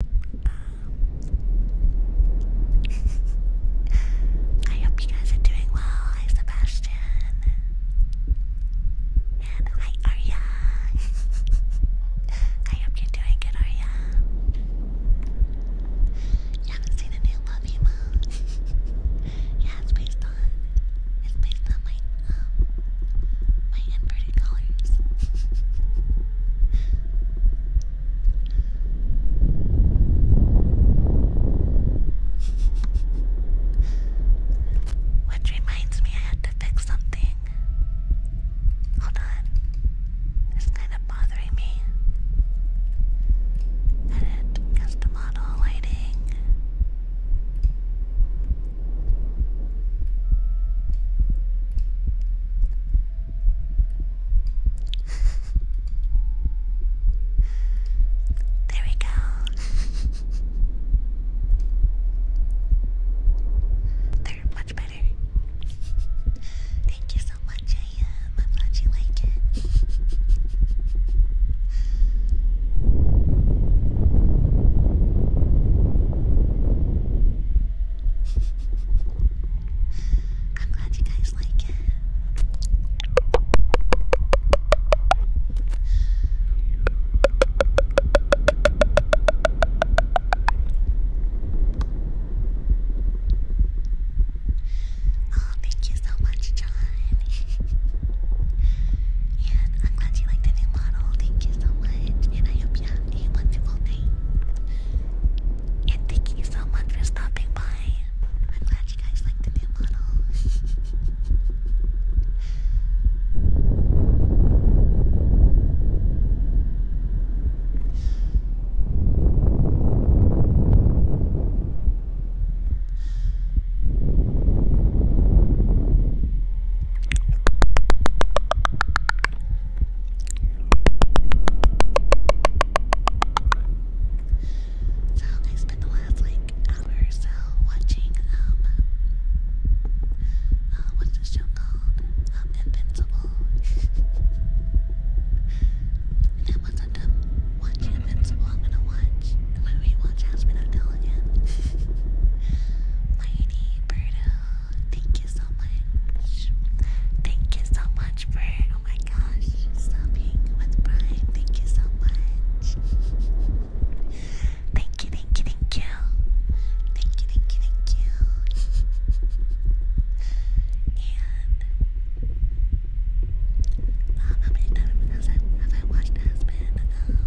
Um, I hope you guys are doing well. Hi, Sebastian. And hi, Arya. I hope you're doing good, Arya. You haven't seen a new love emo? yeah, it's based on it's based on my um, my inverted colors. Which reminds me, I had to fix something. Hold on. It's kind of bothering me. Edit, custom model, lighting there we go. They're much better. Thank you so much, I am glad you like it. I'm glad you guys like it. Oh, thank you so much, John. and I'm glad you like the new model. Thank you so much. And I hope you have a wonderful night. And thank you so much for stopping by. I'm glad you guys like the new model. So I spent the last like hour or so watching um uh, what's this show called? Um, Invincible. and done watching Invincible, I'm gonna watch I'm gonna rewatch Aspen again. Mighty Birdo Thank you so much. Thank you so much for oh my gosh, stopping with Brian. Thank you so much. thank you, thank you, thank you. Thank you, thank you, thank you. and um, how many times have I, have I watched Aspen? Um,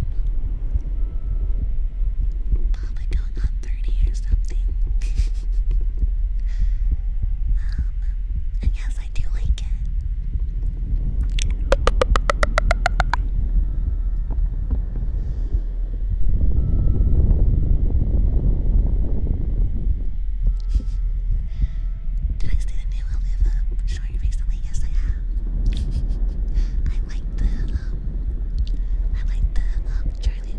probably going on 30 or something. um, and yes, I do like it. Did I see the new I Live Up short recently? Yes, I have. I like the, um, I like the um, Charlie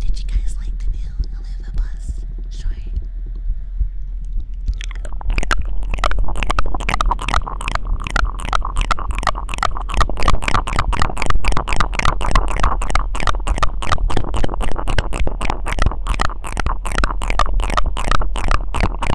Did you guys like the new Oliva Plus short?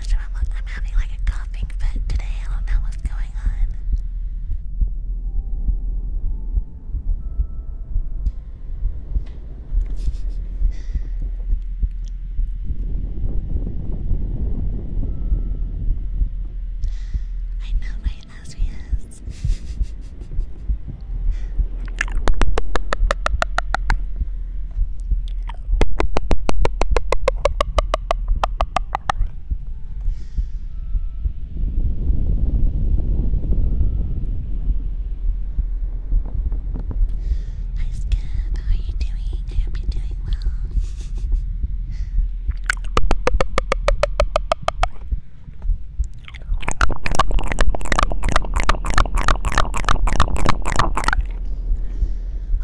I'm, i having like a coughing fit today. I don't know what's going on. I know, right, as Hi Skip, how are you doing? I hope you're doing well.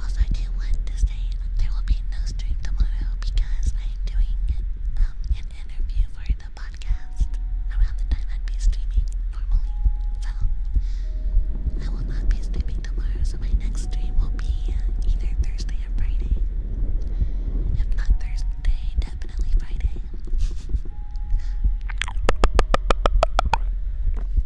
Also, I do want to say there will be no stream tomorrow because I am doing um, an interview for the podcast around the time I'd be streaming normally. So, I will not be streaming tomorrow, so my next stream will be uh, either Thursday or Friday. If not Thursday, definitely Friday.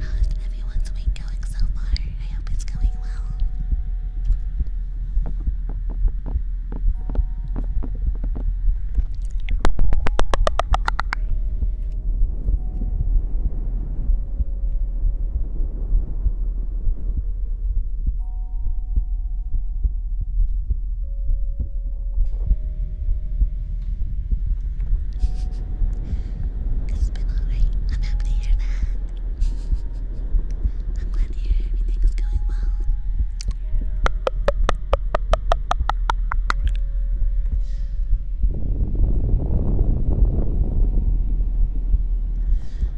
How's everyone's week going so far? I hope it's going well. It's been alright. I'm happy to hear that. I'm glad to hear everything's going well.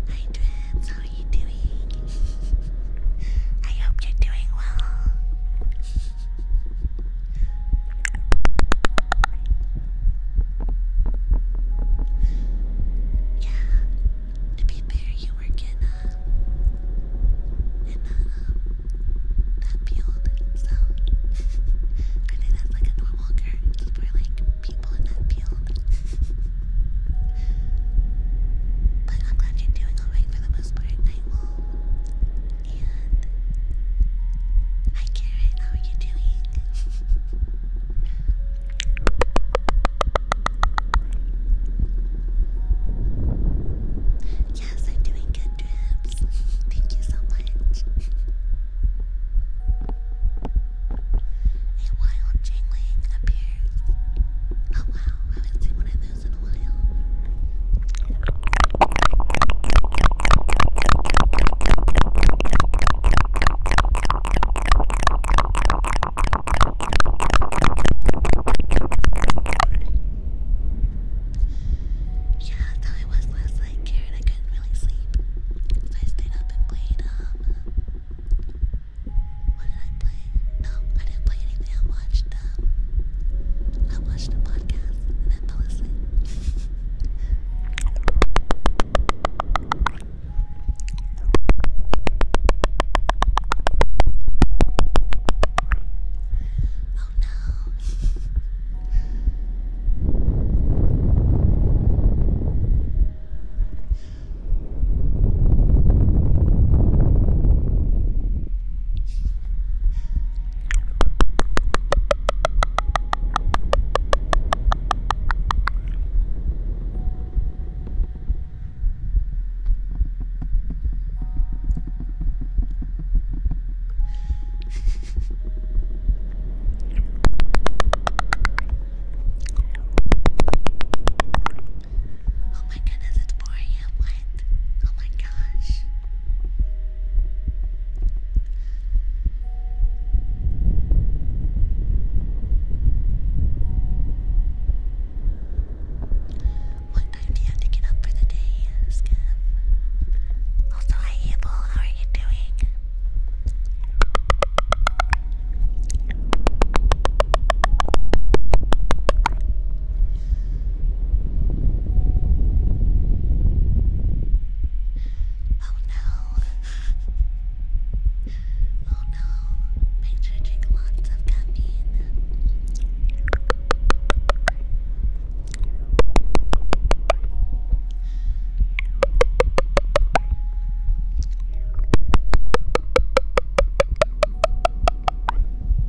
Hi, Dreads, how are you doing? I hope you're doing well. Yeah, to be fair, you were in, uh, in uh, um, that field, so I think that's like a normal for like people in that field. but I'm glad you're doing alright for the most part, hi Karen, how are you doing? yes, I'm doing good trips. Thank you so much. A wild jingling appears. Oh wow, I haven't one of those yeah, that's how I was last night, Karen. I couldn't really sleep. So I stayed up and played, um, What did I play? No, I didn't play anything. I watched I watched a podcast and then fell oh no. Oh my goodness, it's 4 a.m. Why Oh my gosh. What time do you have to get up for the day, Skim? Also, hi Abel, how are you doing? Oh no. Oh no. Picture drink lots of caffeine.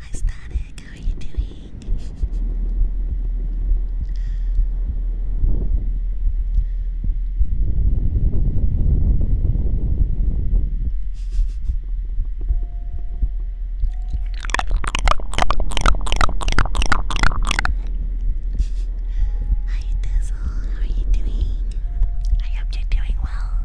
Hi Static, how are you doing? Hi Dizzle, how are you doing? I hope you're doing well.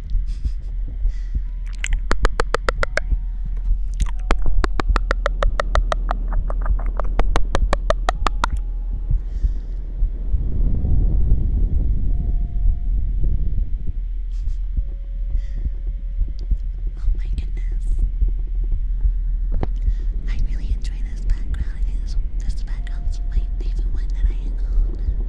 Oh my goodness. I really enjoy this background. I this, this my favorite one that I own.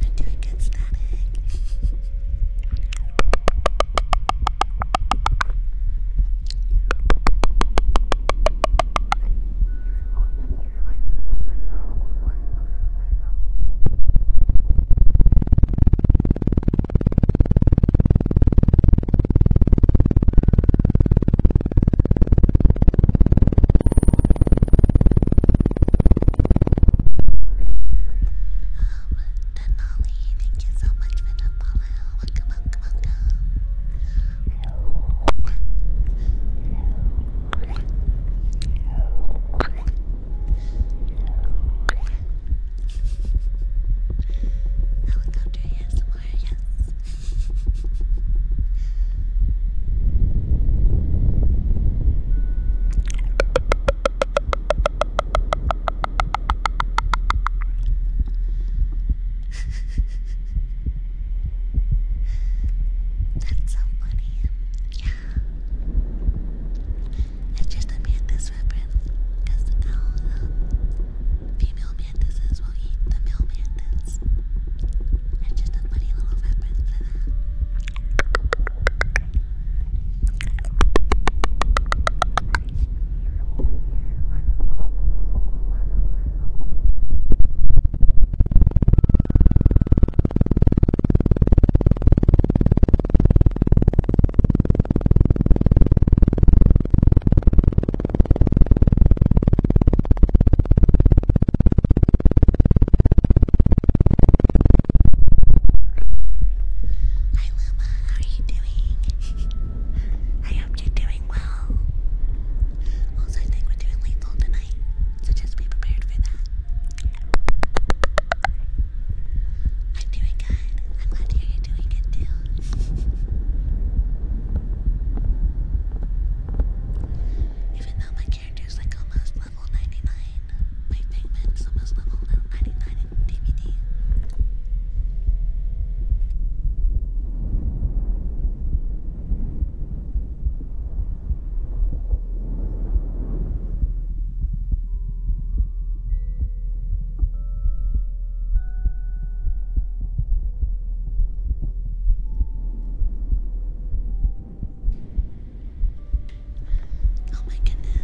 I do get static. Denali, thank you so much for the follow. Welcome, welcome, welcome. Helicopter, yes, That's so funny. Yeah. It's just a man this mantises will eat the male mantis. It's just a funny little reference for that. Hi Luma, how are you doing? I hope you're doing well. Also, I think we're doing lethal tonight, so just be prepared for that. I'm doing good. I'm glad to hear you're doing good too. Even though my character is like almost level 99, my pigment's almost level 99 in DVD. Oh my goodness.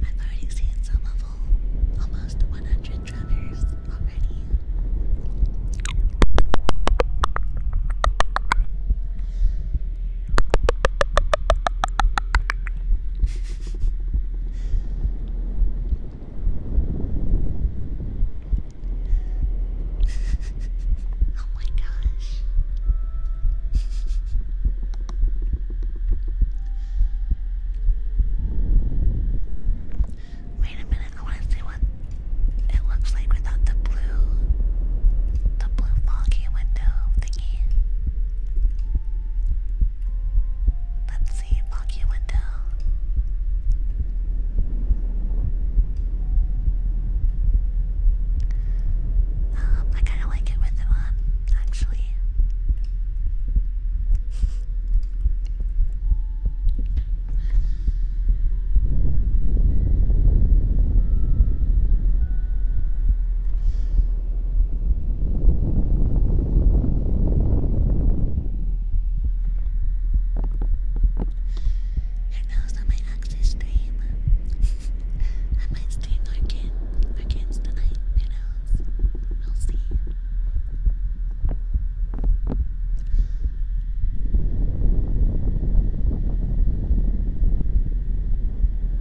I've already seen some of all, almost 100 drummers already oh my gosh. Wait a minute, I want to see what it looks like without the blue, the blue foggy window thingy. Let's see, block your window. Um, I kind of like it with them on, actually. And that was not my actual stream. I might stream more games, more games tonight. Who knows? We'll see.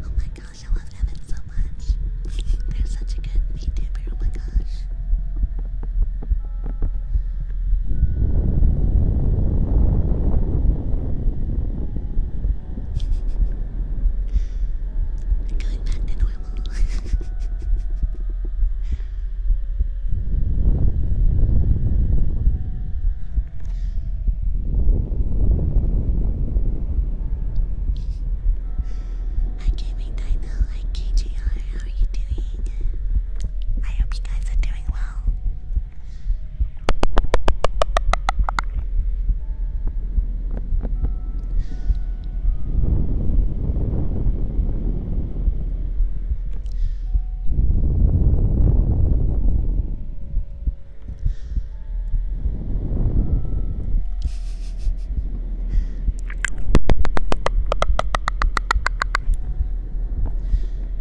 Oh my gosh, I love Evan so much. They're such a good VTuber, oh my gosh. Going back to normal. Hi gaming dino, hi KGR, how are you doing? I hope you guys are doing well.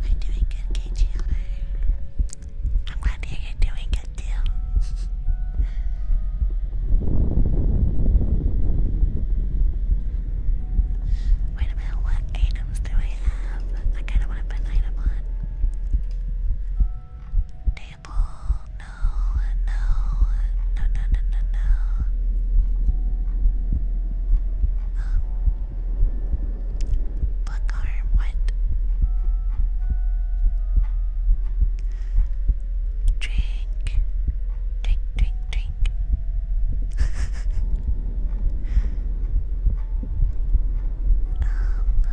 We're doing good, KGLA. I'm glad you're doing good too. Wait a minute, what items do we have? I kind of want to put Table, no, no, no, no, no, no, no. Book arm, what? Drink, drink, drink, drink. um, nope.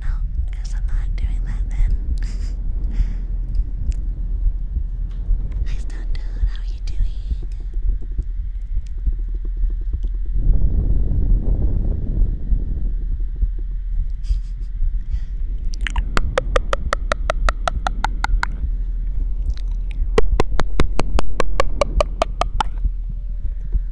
No, guess I'm not doing that then. Hi, Stone how are you doing?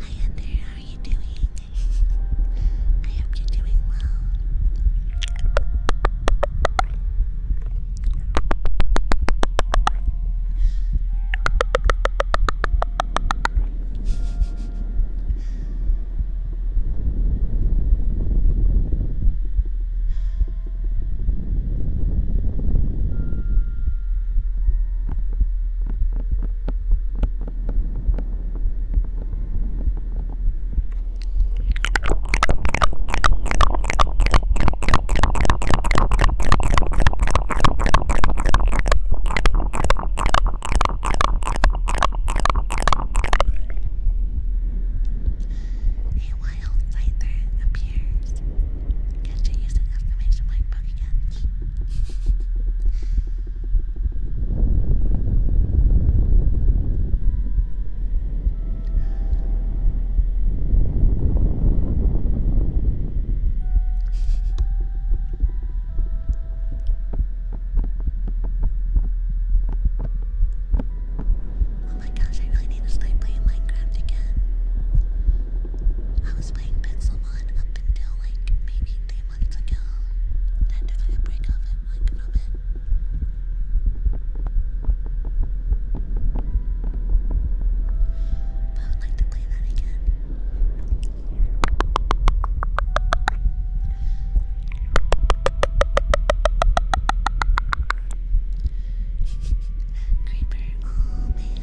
Hi Andrew, how are you doing? I hope you're doing well. A wild fighter appears Guess you Oh my gosh, I really need to start playing Minecraft again. I was was playing Pixelmon up until like maybe three months ago. Then if I break off it like from But I would like to play that again. Creeper, oh,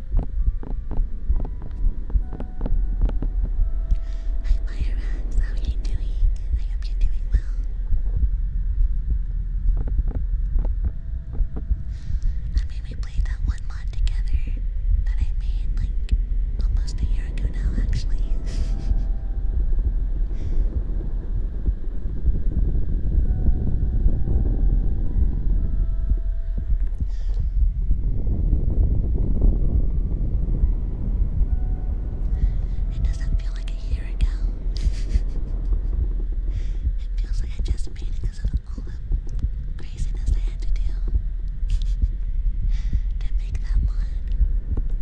Hi, Fire How are you doing? I hope you're doing well. I mean, we played that one mod together that I made like almost a year ago now, actually. It doesn't feel like a year ago. it feels like I just made it of all the craziness I had to do to make that one.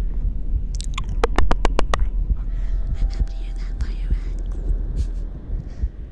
I'm happy to hear that, Fire Rex.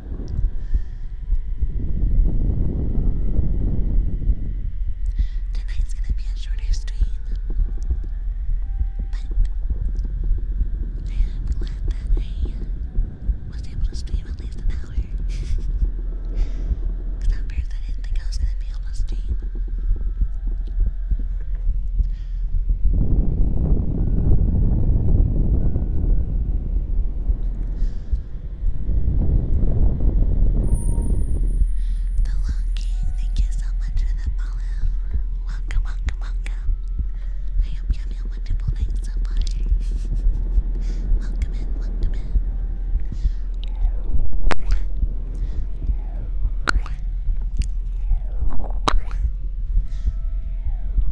Tonight's gonna be a shorter stream, but I am glad that I was able to stream at least an hour. Because at first I didn't think I was gonna be able to stream. The Long King, thank you so much for the follow. Welcome, welcome, welcome. I hope you have a wonderful night so far. welcome in, welcome in.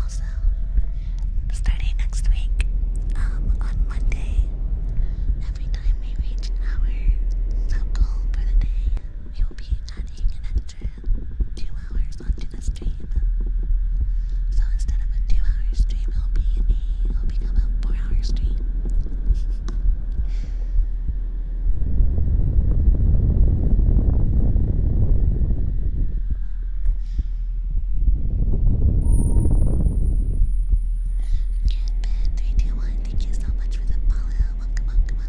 Also, starting next week, um, on Monday, every time we reach our sub goal for the day, we will be adding an extra two hours onto the stream. So instead of a two-hour stream, it'll be a, it'll become a four-hour stream. Three, two, one. Thank you so much for the follow. Welcome, welcome, welcome.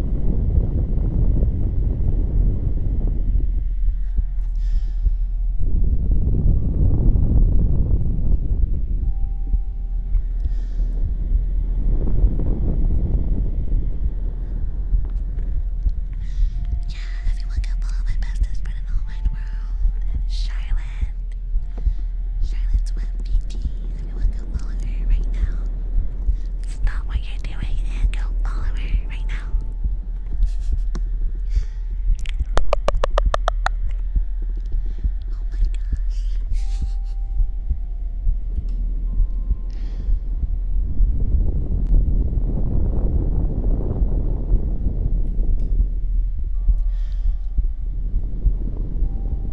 Yeah, everyone can follow my bestest friend in the whole wide world, Charlotte. Charlotte's web PT. Everyone Stop what you're doing and go Oliver right now. Oh my God.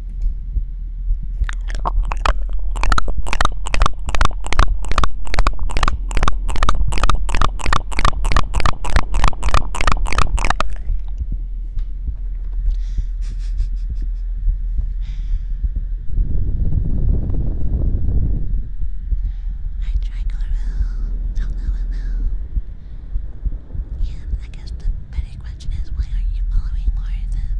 I tried Laurel. Oh, no, no, no. And I guess the better better question is why aren't you following more of them?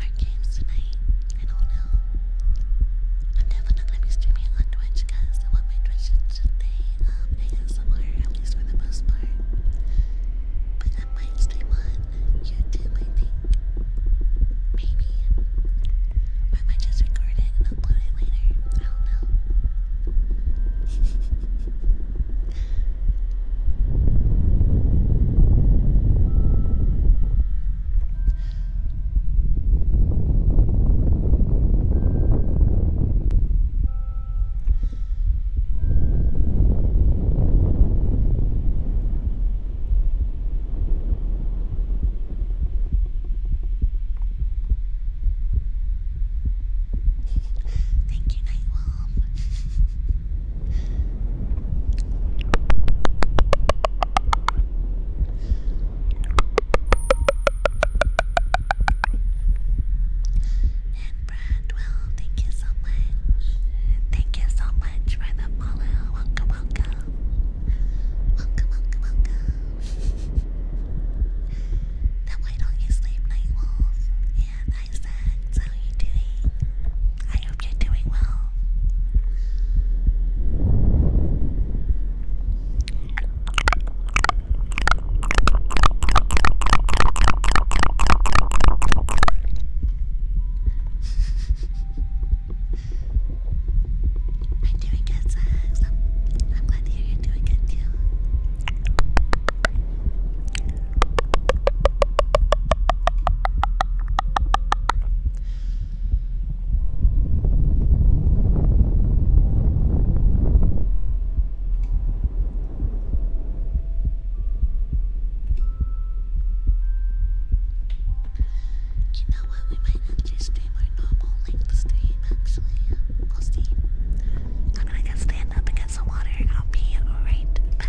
our games tonight. I don't know. I'm definitely gonna be streaming on Twitch because I want my Twitch to um ASMR, at least for the most part. But I might stream on YouTube, I Maybe. I might just record it and upload it later. I don't know. Thank you, Nightwolf. And Brad, thank you so much. Thank you so much for the follow. Welcome, welcome. Welcome, welcome, welcome. then why don't Night Wolf? And Isaac, how you doing? I hope you're doing well. I'm doing good, Zags. I'm glad to hear you're doing good too. You know what? We might have to stream our normal length stream actually. I'll see. I'm gonna go stand up and get some water and I'll be right back.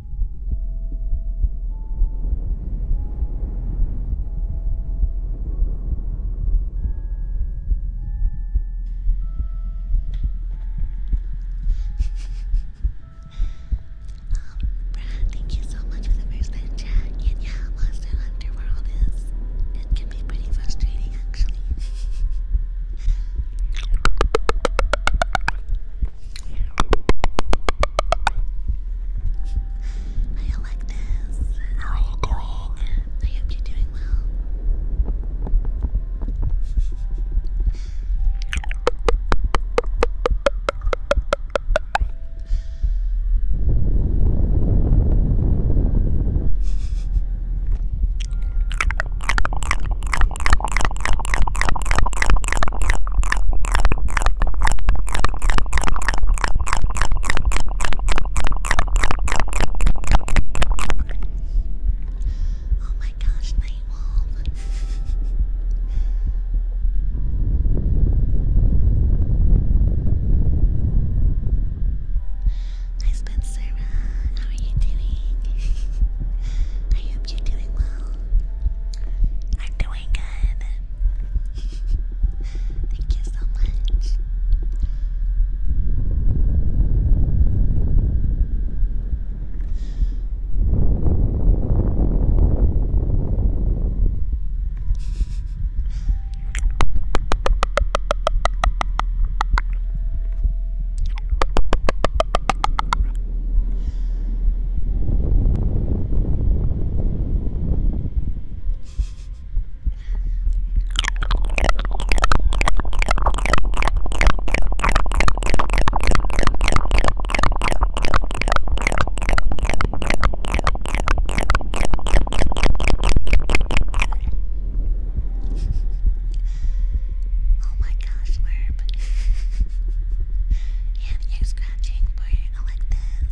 Brad, thank you so much for the first time chat. And yeah, Monster Hunter World is it can be pretty frustrating actually. Hey Alexis, how are you I hope you're doing well. Oh my gosh, night wolf. Hi Spencer, how are you doing? I hope you're doing well. I'm doing my god. Thank you so much. oh my gosh, Werb. yeah, you're scratching for like this.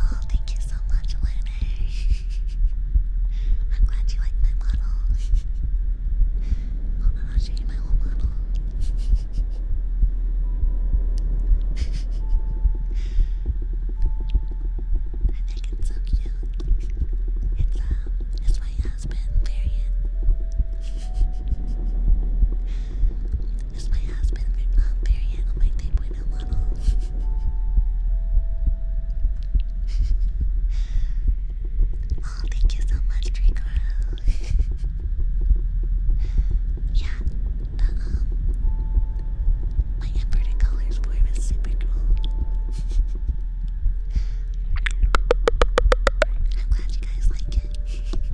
Oh, thank you so much, Lunar. I'm glad you like my model. Oh my gosh, I hate my whole model. I think it's so cute. It's um, it's my husband, Marion. it's my husband, um, Marion, my 3.0 model. oh, thank you so much, Draco. yeah, my Emperor Colors form is super cool. I'm glad you guys like it.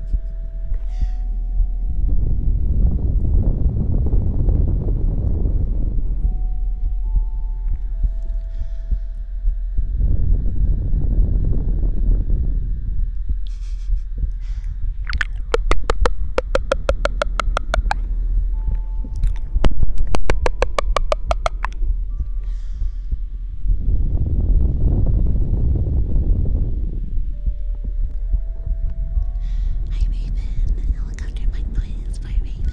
Hi Raven, helicopter my noise by Raven.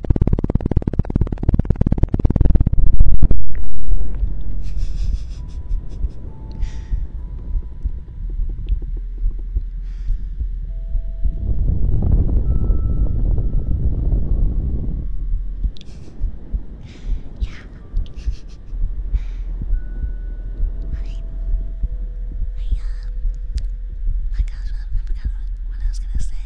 yeah. I, um, I, um, my gosh, I forgot what I was gonna say.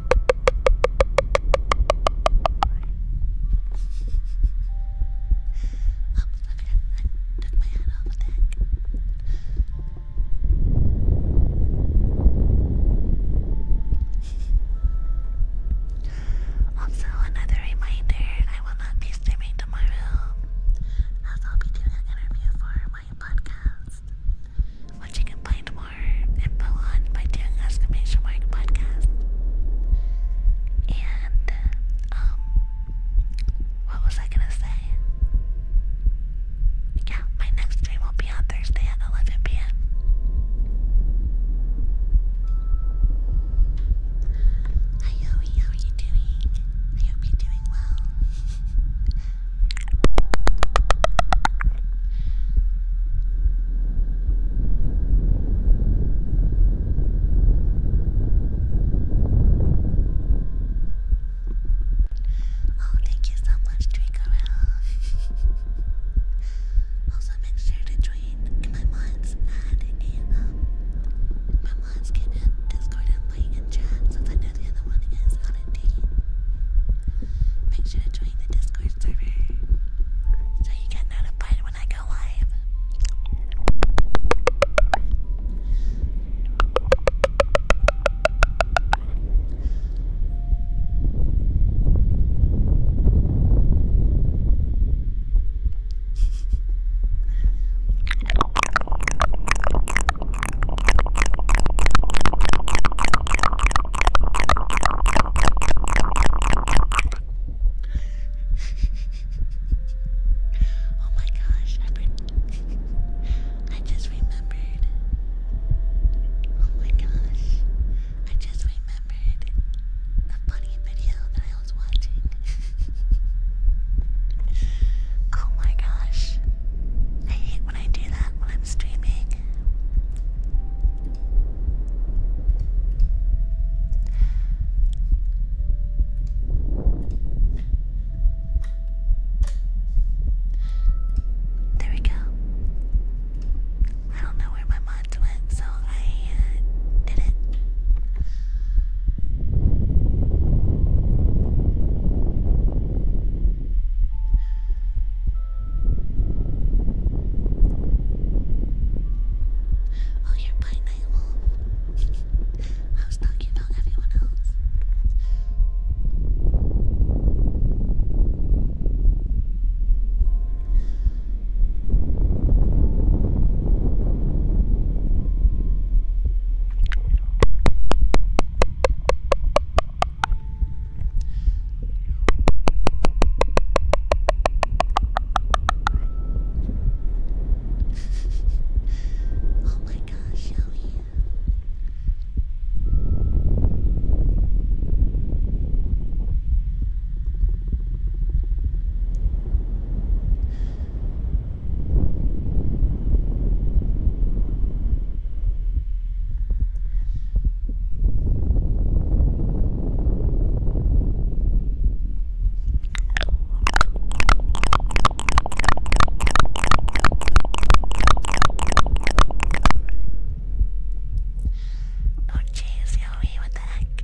took also, another reminder I will not be streaming tomorrow, as I'll be doing an interview for my podcast, which you can find and Balon by doing exclamation mark podcast. And um what was I gonna say? Yeah, my next stream will be on Thursday at 11 p.m. Hi Yoey, how are you doing? I hope you're doing well. Oh, thank you so much, Draco. also, make sure to join my mods and in, um, my mods get in Discord and play in chat since I know the other one is out of date. Make sure to join the Discord server so you get notified when I go live. oh my gosh, I, just remembered. Oh my gosh, I just remembered the funny video that I was watching. oh my gosh, I hate when I do that when I'm streaming. There we go. I don't know where my mods went, so I uh, did it. Oh, you're by Night Wolf. I was talking about everyone else oh my gosh, how are you? Oh jeez, Yoey, what the heck?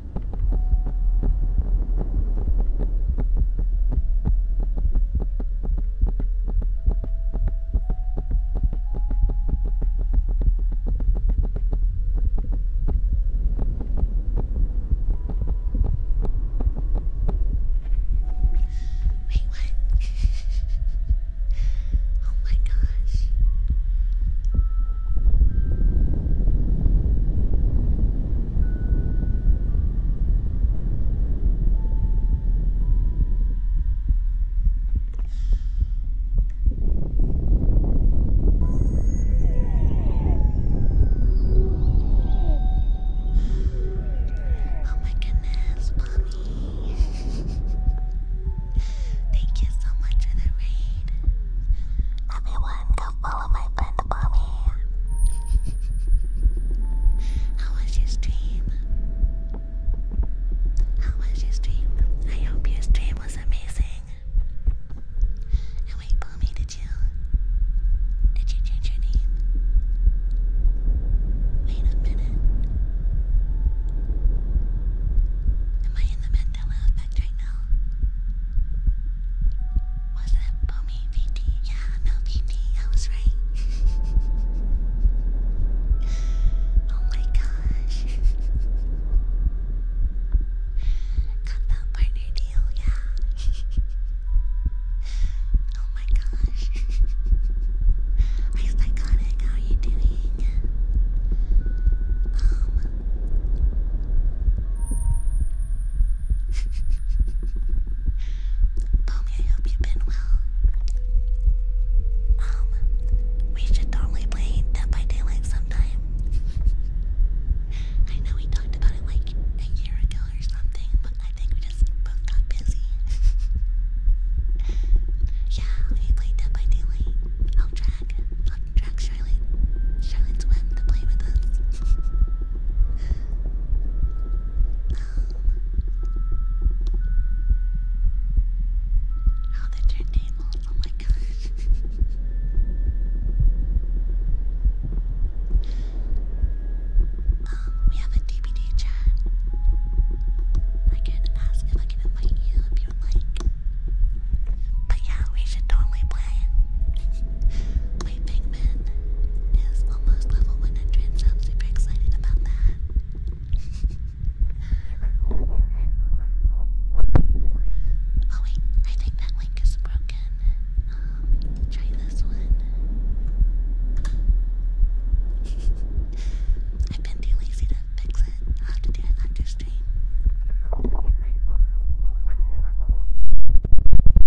Wait, what? oh my gosh. Oh my goodness, Bobby. Thank you so much for the raid. Everyone, go follow follow my friend Bobby. How was your stream? How was your stream? I hope your stream was amazing. And wait, Bobby, did you did you change your name? Wait a minute. Am I in the Mandela effect? much right now. Was it Boomy VT? Yeah, no VT, I was right. oh my gosh. Got that partner deal, yeah. oh my gosh. I psychotic, how you doing? Um, Tommy, I hope you've been well. Um, we should normally play Dead by Daylight sometime. I know we talked about it like a year ago or something, but I think we just both got busy. yeah, we played Dead by Daylight. I'll drag, I'll drag Charlotte, Charlotte's web to play with us. How did your name Oh my gosh. um, we have a DVD chat. I can ask if I can invite you if you'd like. But yeah, we should totally play. My Pikmin is almost level 100, I'm super excited about that. Oh wait, I think that link is broken. Um, try this one. I've been too lazy to fix it. I'll have to do it after stream.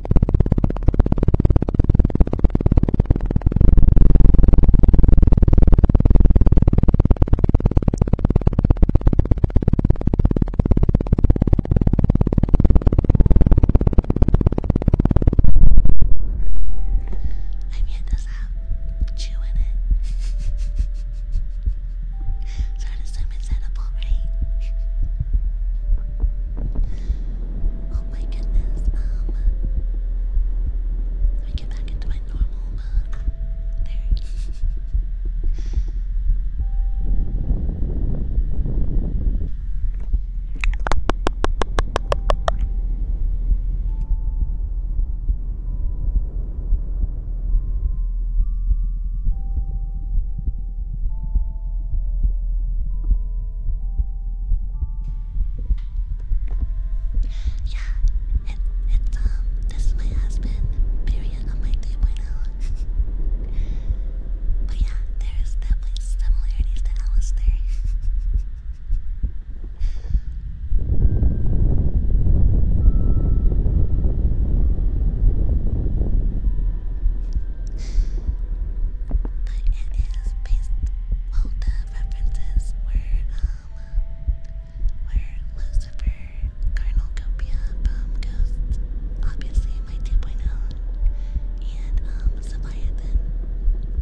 I mean this out chewing it. so I'd assume it's edible, right? Oh Oh my goodness, um, let me get back into my normal uh, there. Yeah, it, it's, um, this is my husband, period, on my 3.0. but yeah, there's definitely similarities to Alistair. But it is based. Well, the references were um were Lucifer, Carnal Copia, Bomb Ghost, obviously my 2.0, and um Leviathan,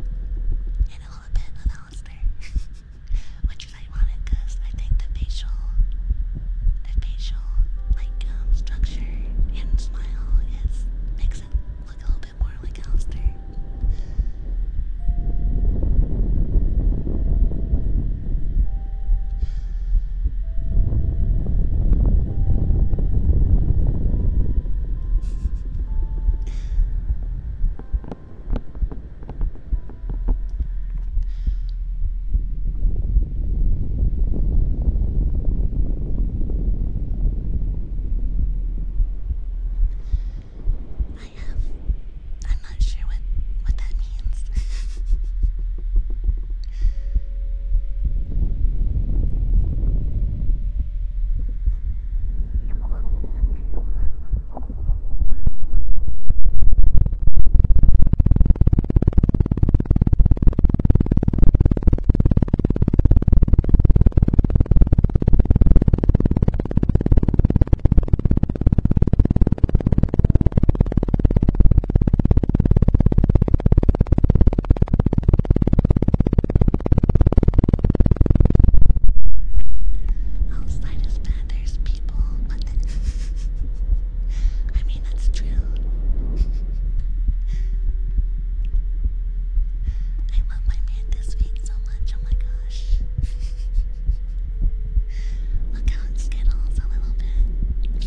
and a little bit of Alistair, which is ironic because I think the facial, the facial like structure and smile is makes doesn't look a little bit more like Alistair. I have. I'm not sure what what that means. Outside is bad, there's people, but then I mean, that's true. I love my man this week so much, oh my gosh. Look out, Skittles, a little bit.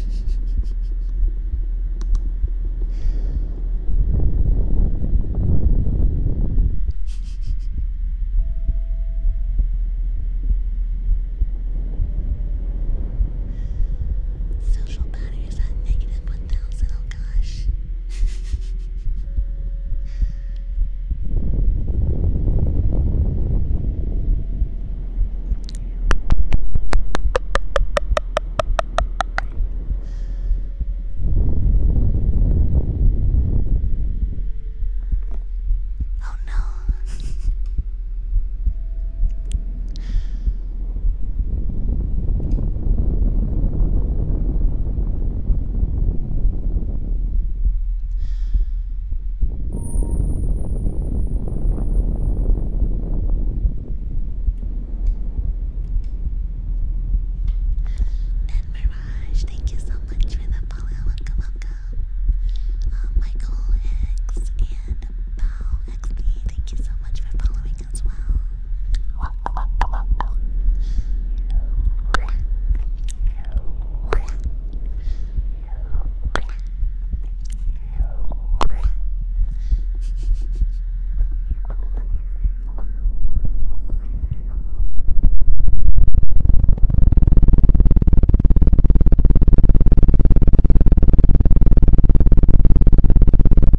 Social battery is at negative 1,000, gosh. Oh no. Mirage, thank you so much for the follow. Welcome, welcome. Uh, Michael Hicks and Paul XD, thank you so much for following morning as well.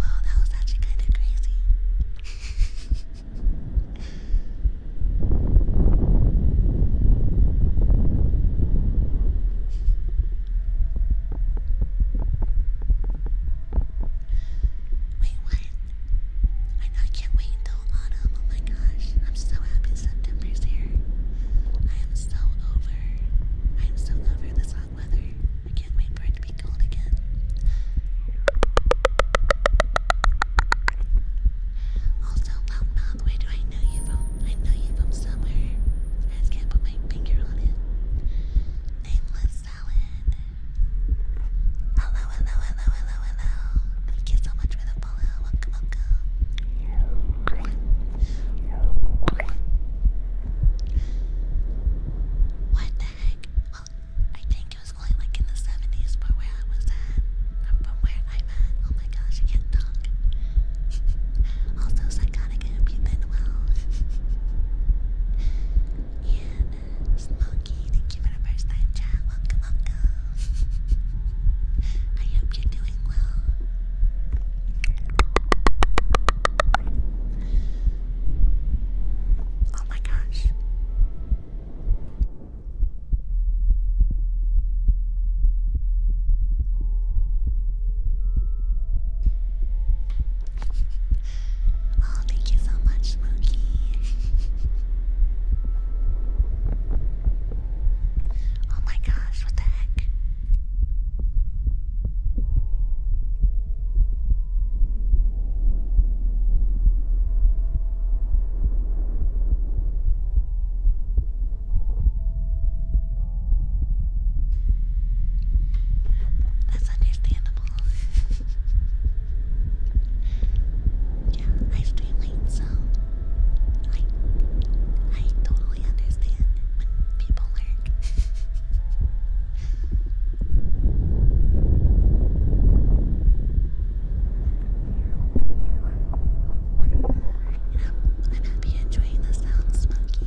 Wow, that was actually kind of crazy. Wait, what? I know I can't wait until autumn. Oh my gosh, I'm so happy September's here so over. I'm so over this hot weather. I can't wait for it to be cold again. Also, loud where do I know you from? I know you from somewhere. I just can't put my finger on it. Nameless salad. Hello, hello, hello, hello, hello. Thank you so much for the follow. Welcome, welcome. What the heck? Well, I think it was only like in the 70s from where I was at. From, where I'm at. Oh my gosh, I can't talk. also, psychotic hope you've been well. and uh, Smokey, thank you first time chat. Welcome, welcome. I hope you're doing Oh my gosh. oh, thank you so much, Mookie. oh my gosh, what the heck? That's understandable. yeah, I stream late, so I I totally understand when people are I hope you're enjoying the sound, Smokey.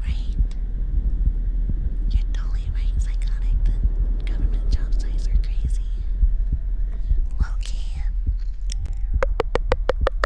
Right? You're totally right, psychotic, but government job sites are crazy. Low key.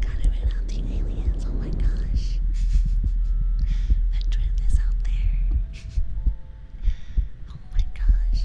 Got it right out the aliens, oh my gosh. that trend is out there. oh my gosh.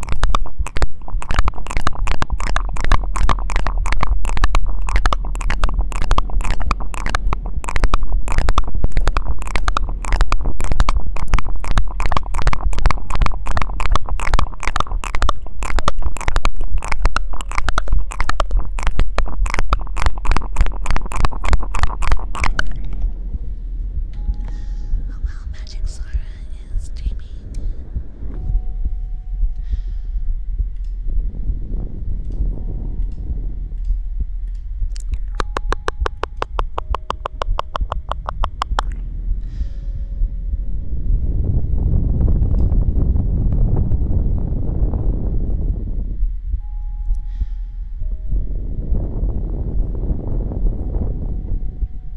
Oh wow, Magic Sora is dreaming.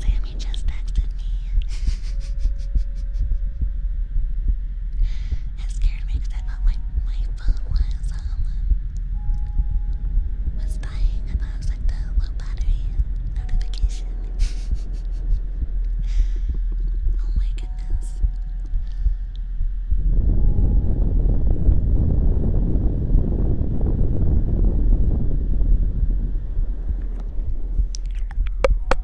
Sammy just texted me it scared me because I thought my, my phone was, um, was dying. I was like the low battery notification. oh my goodness.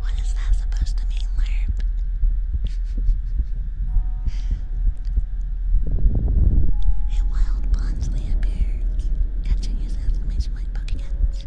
What is that supposed to mean, Lerp? A wild Bonsley appears, catching his exclamation like Pokedex.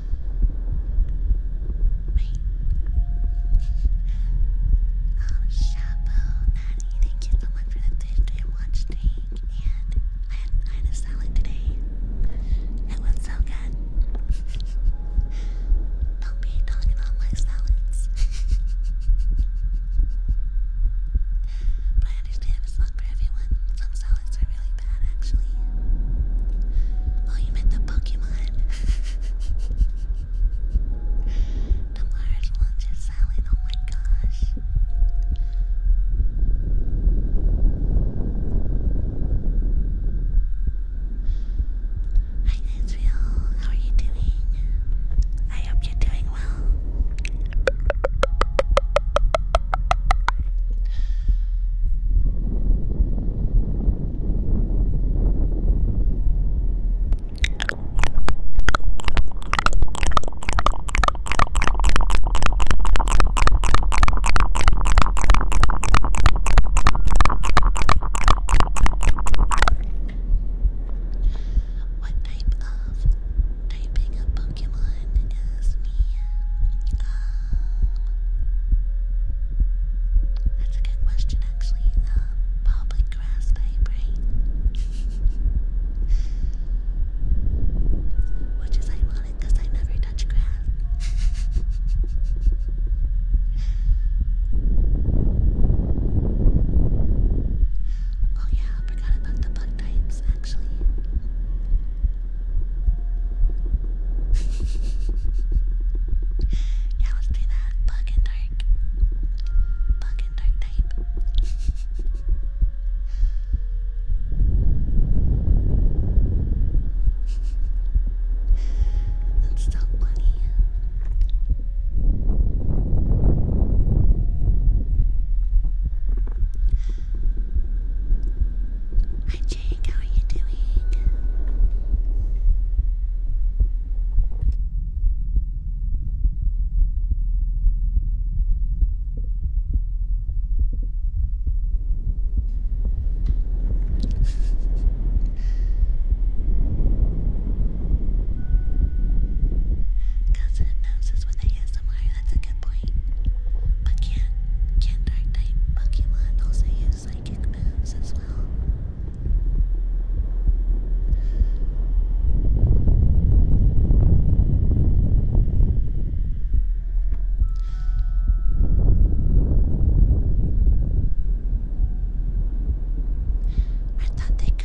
Oh, Shabo, Maddie, thank you so much for the Thursday watch stream. And I had, I had a salad today. It was so good. Don't be talking about my salads. but I understand it's not for everyone. Some salads are really bad, actually. Oh, you meant the Pokemon. Tomorrow's lunch is salad, oh my gosh. Hi Israel, how are you doing? I hope you're doing well. What type of typing of Pokemon is me? Um, that's a good question, actually. Uh, grass type, right? Which is ironic I never touch grass. oh, yeah, forgot about the bug types, actually yeah, let's do that. dark. and dark type. That's so funny. Jake, how are you doing? Cousin noses with ASMR, that's a good point. But can can Dark Knight Pokemon also do psychic moves as well. I thought they could.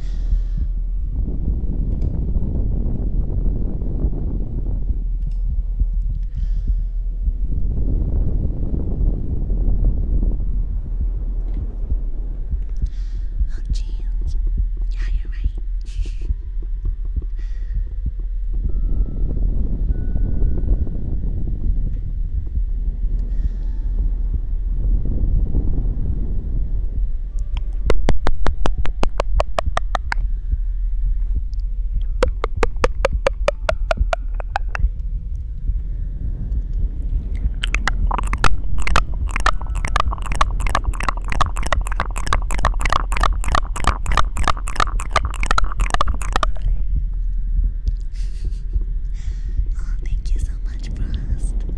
Oh, jeez. Yeah, you're right oh, thank you so much, Frost.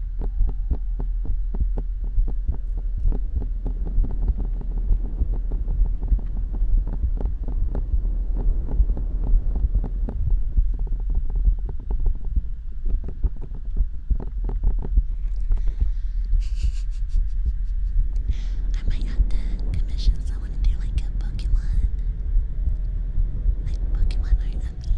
I might have to commission someone to do like a Pokemon. Like Pokemon art of me.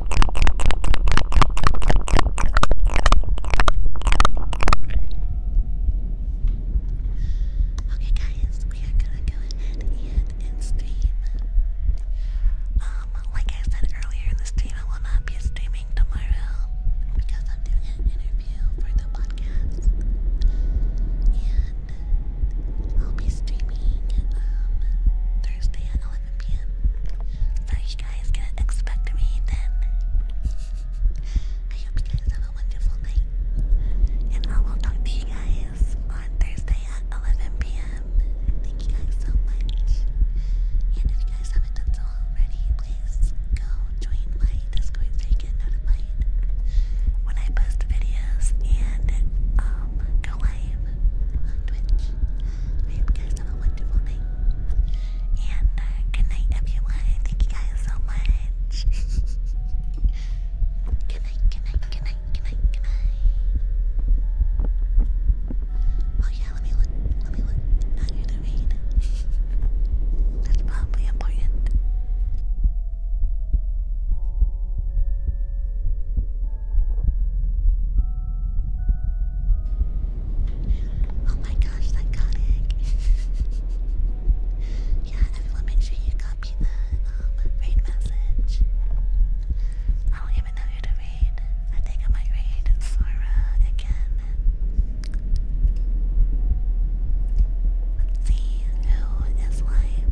Okay, guys, we are gonna go ahead and stream. Um, like I said earlier in the stream, I will not be streaming tomorrow because I'm doing an interview for the podcast, and I'll be streaming um Thursday so you guys can expect me then. I hope you guys have a wonderful night. And I will talk to you guys on Thursday at 11 p.m. Thank you guys so much. And if you guys haven't done so already, please go join my Discord so you get notified when I post videos and um, go live on Twitch. I you guys have a wonderful night. And uh, good night, everyone. Thank you guys so much. good night, good night, good night, good night, good night. Oh, yeah, let me look. Let me look. Not here to That's probably important. Oh my gosh, psychotic. yeah, everyone make sure you copy the um, message. I don't even know who to raid. I think I might raid Sora again. Let's see who is live.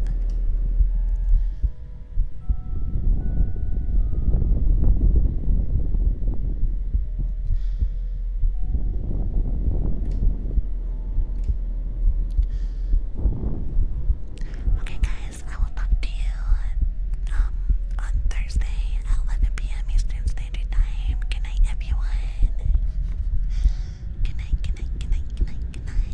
Okay, guys, I will talk to you um, on Thursday at 11 p.m. Eastern Standard Time. Good night, everyone. Good night, good night, good night, good night, good night.